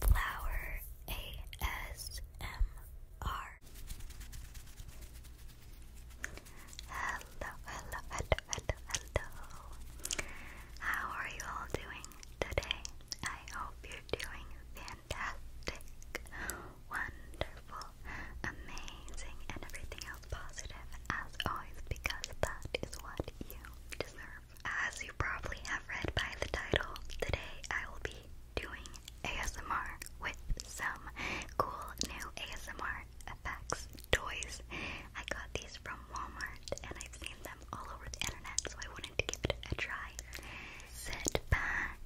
Flower ASMR. Hello, hello, hello, hello, hello. How are you all doing today? I hope you're doing fantastic, wonderful, amazing, and everything else positive as always because that is what you deserve. As you probably have read by the title, today I will be doing ASMR with some cool new ASMR effects toys. I got these from Walmart and I've seen them all over the internet, so I wanted to give it a try. Sit back,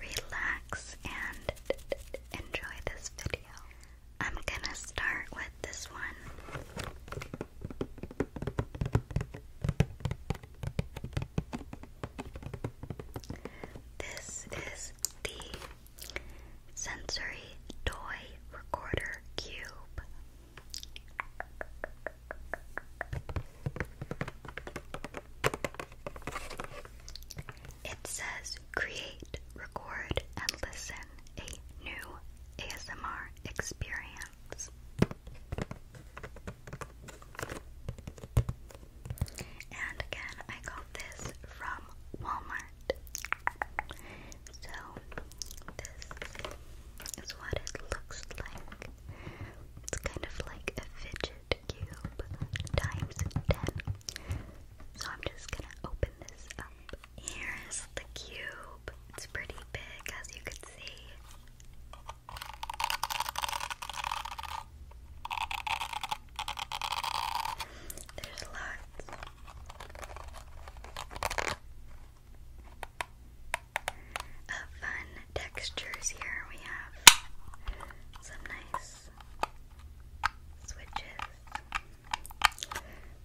relax, and enjoy this video. I'm gonna start with this one. This is the sensory toy recorder cube. It says create, record, and listen a new ASMR experience. And again, I got this from Walmart. So, this is what it looks like. It's kind of like a fidget cube times 10. So, I'm just gonna open this up. Here's the cube. It's pretty big, as you can see. There's lots. Of fun textures here. We have some nice switches.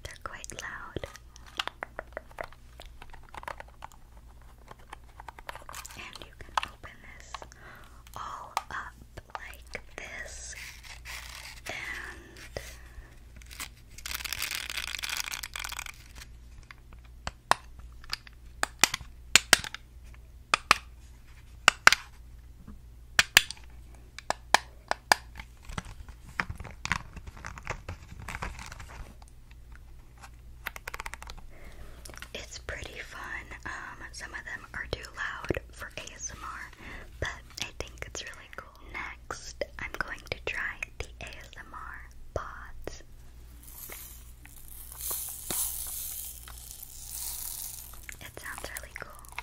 They're quite loud. And you can open this all up like this. And it's pretty fun. Um, some of them are too loud for ASMR, but I think it's really cool. Next, I'm going to try the ASMR pods. It sounds really cool.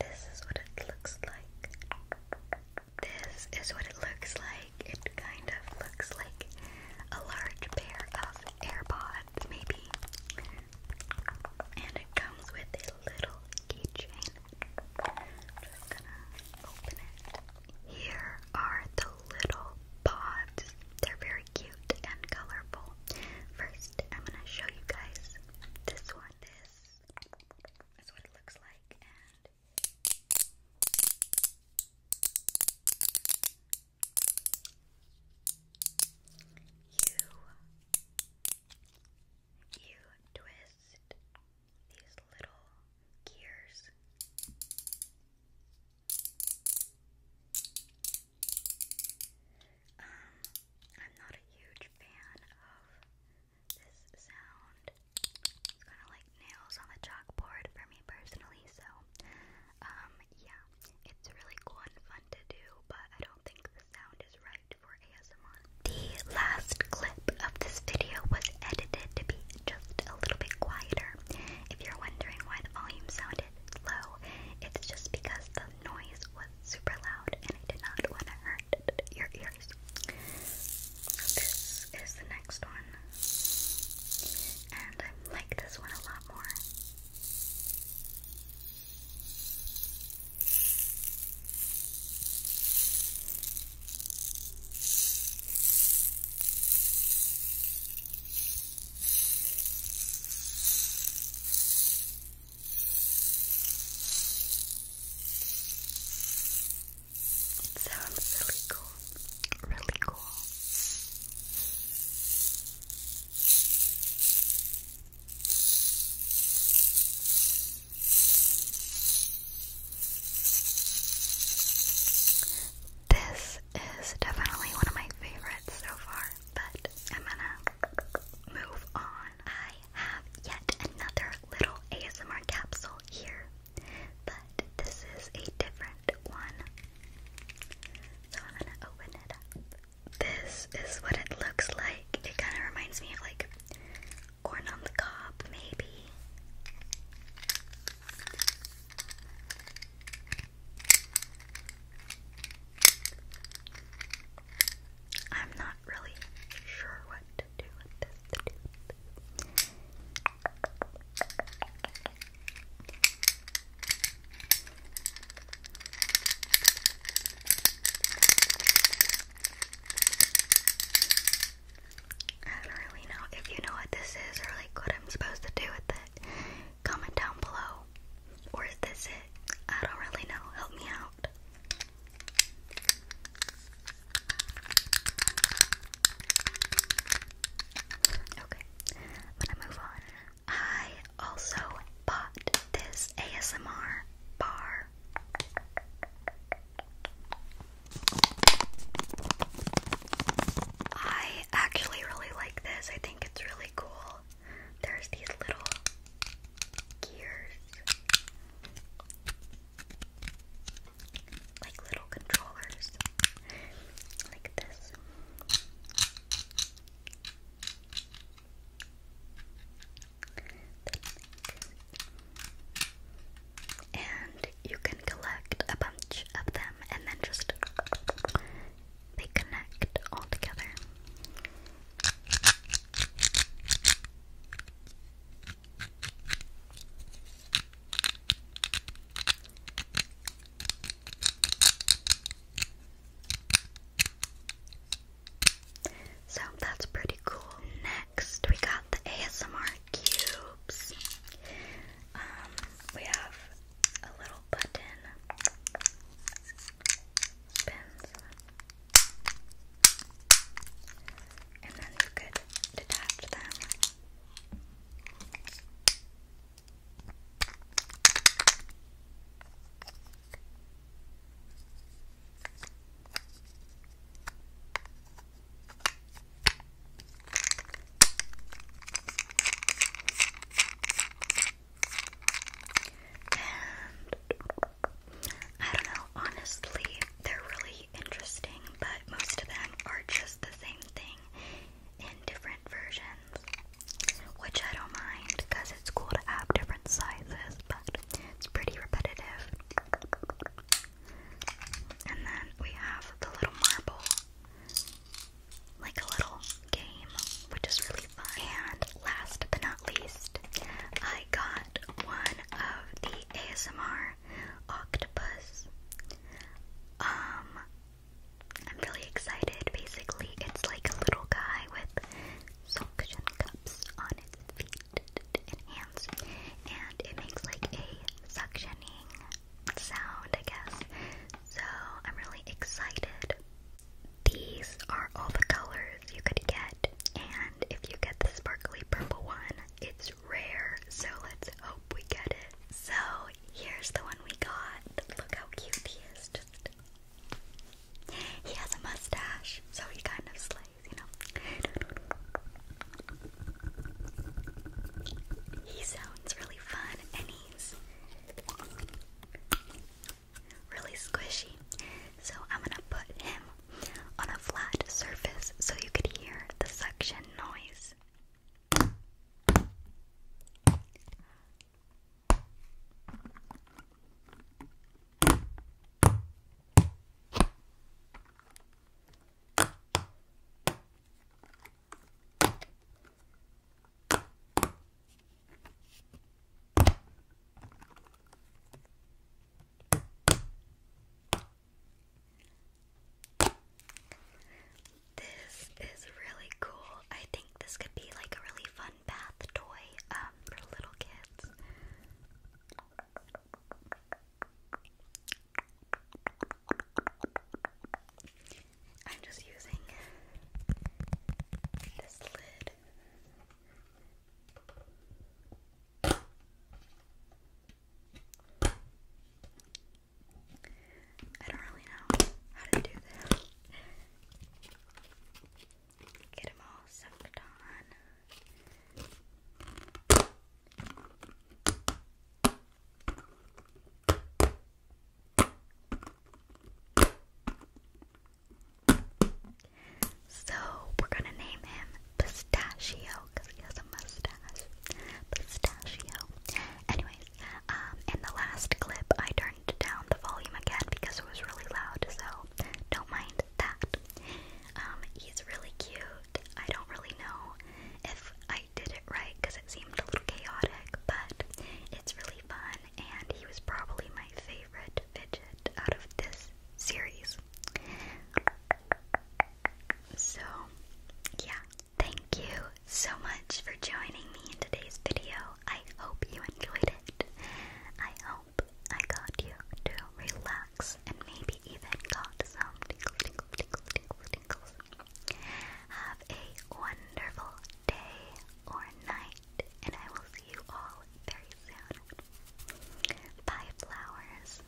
This is what it looks like. This is what it looks like. It kind of looks like a large pair of AirPods, maybe. And it comes with a little keychain. Just gonna open it. Here are the little pods. They're very cute and colorful. First, I'm gonna show you guys this one. This is what it looks like, you twist these little gears. Um, I'm not a huge fan of this sound. It's kind of like nails on the chalkboard for me personally, so um yeah, it's really cool and fun to do, but I don't think the sound is right for ASMR. The last clip of this video was edited to be just a little bit quieter. If you're wondering why the volume sounded low, it's just because the noise was super loud and I did not want to hurt your ear years. This is the next one, and I like this one a lot more. It sounds really cool. Really cool. This is definitely one of my favorites so far, but I'm gonna move on. I have yet another little ASMR capsule here but this is a different one. So I'm gonna open it up. This is what it looks like. It kind of reminds me of like corn on the Cop," maybe. I'm not really sure what I don't really know if you know what this is or like what I'm supposed to do with it. Comment down below. Or is this it? I don't really know. Help me out. Okay, gonna move on. I also bought this ASMR bar. I actually really like this. I think it's really cool. There's these little gears like little controllers, like this. And you can collect a bunch of them and then just they connect all together. So that's pretty cool. Next, we got the ASMR cubes. Um, we have a little button spins, and then you could detach them. And I don't know, honestly, they're really pretty interesting, but most of them are just the same thing in different versions, which I don't mind because it's cool to have different sizes, but it's pretty repetitive. And then we have the little marble, like a little game, which is really fun. And last but not least, I got one of the ASMR octopus. Um, I'm really excited. Basically, it's like a little guy with suction cups on its feet and hands, and it makes like a suctioning sound, I guess. So, I'm really excited. These are all the colors you could get, and if you get the sparkly purple one, it's rare, so let's hope we get it. So here's the one we got. Look how cute he is. he has a mustache, so he kind of slays, you know. He sounds really fun and he's really squishy. So I'm gonna put him on a flat surface so you could hear the suction noise. This is really cool. I think this could be like a really fun bath toy um, for little kids. I'm just using this lid. I don't really know how to do this. Get them all sucked on. So, we're gonna name him pistachio because he has a mustache. Pistachio. Anyways, um, in the last clip, I turned down the volume again because it was really loud, so don't mind that. Um, he's really cute. I don't really know if I did it right because it seemed a little chaotic, but it's really fun, and he was probably my favorite fidget out of this series. So, yeah, thank you so much for joining me in today's video. I hope you enjoyed it. I hope I got you to relax and maybe even got some tinkle, tinkle, tinkle, tinkle, tinkles. Have a wonderful day or night, and I will see you all very soon. Bye, flowers.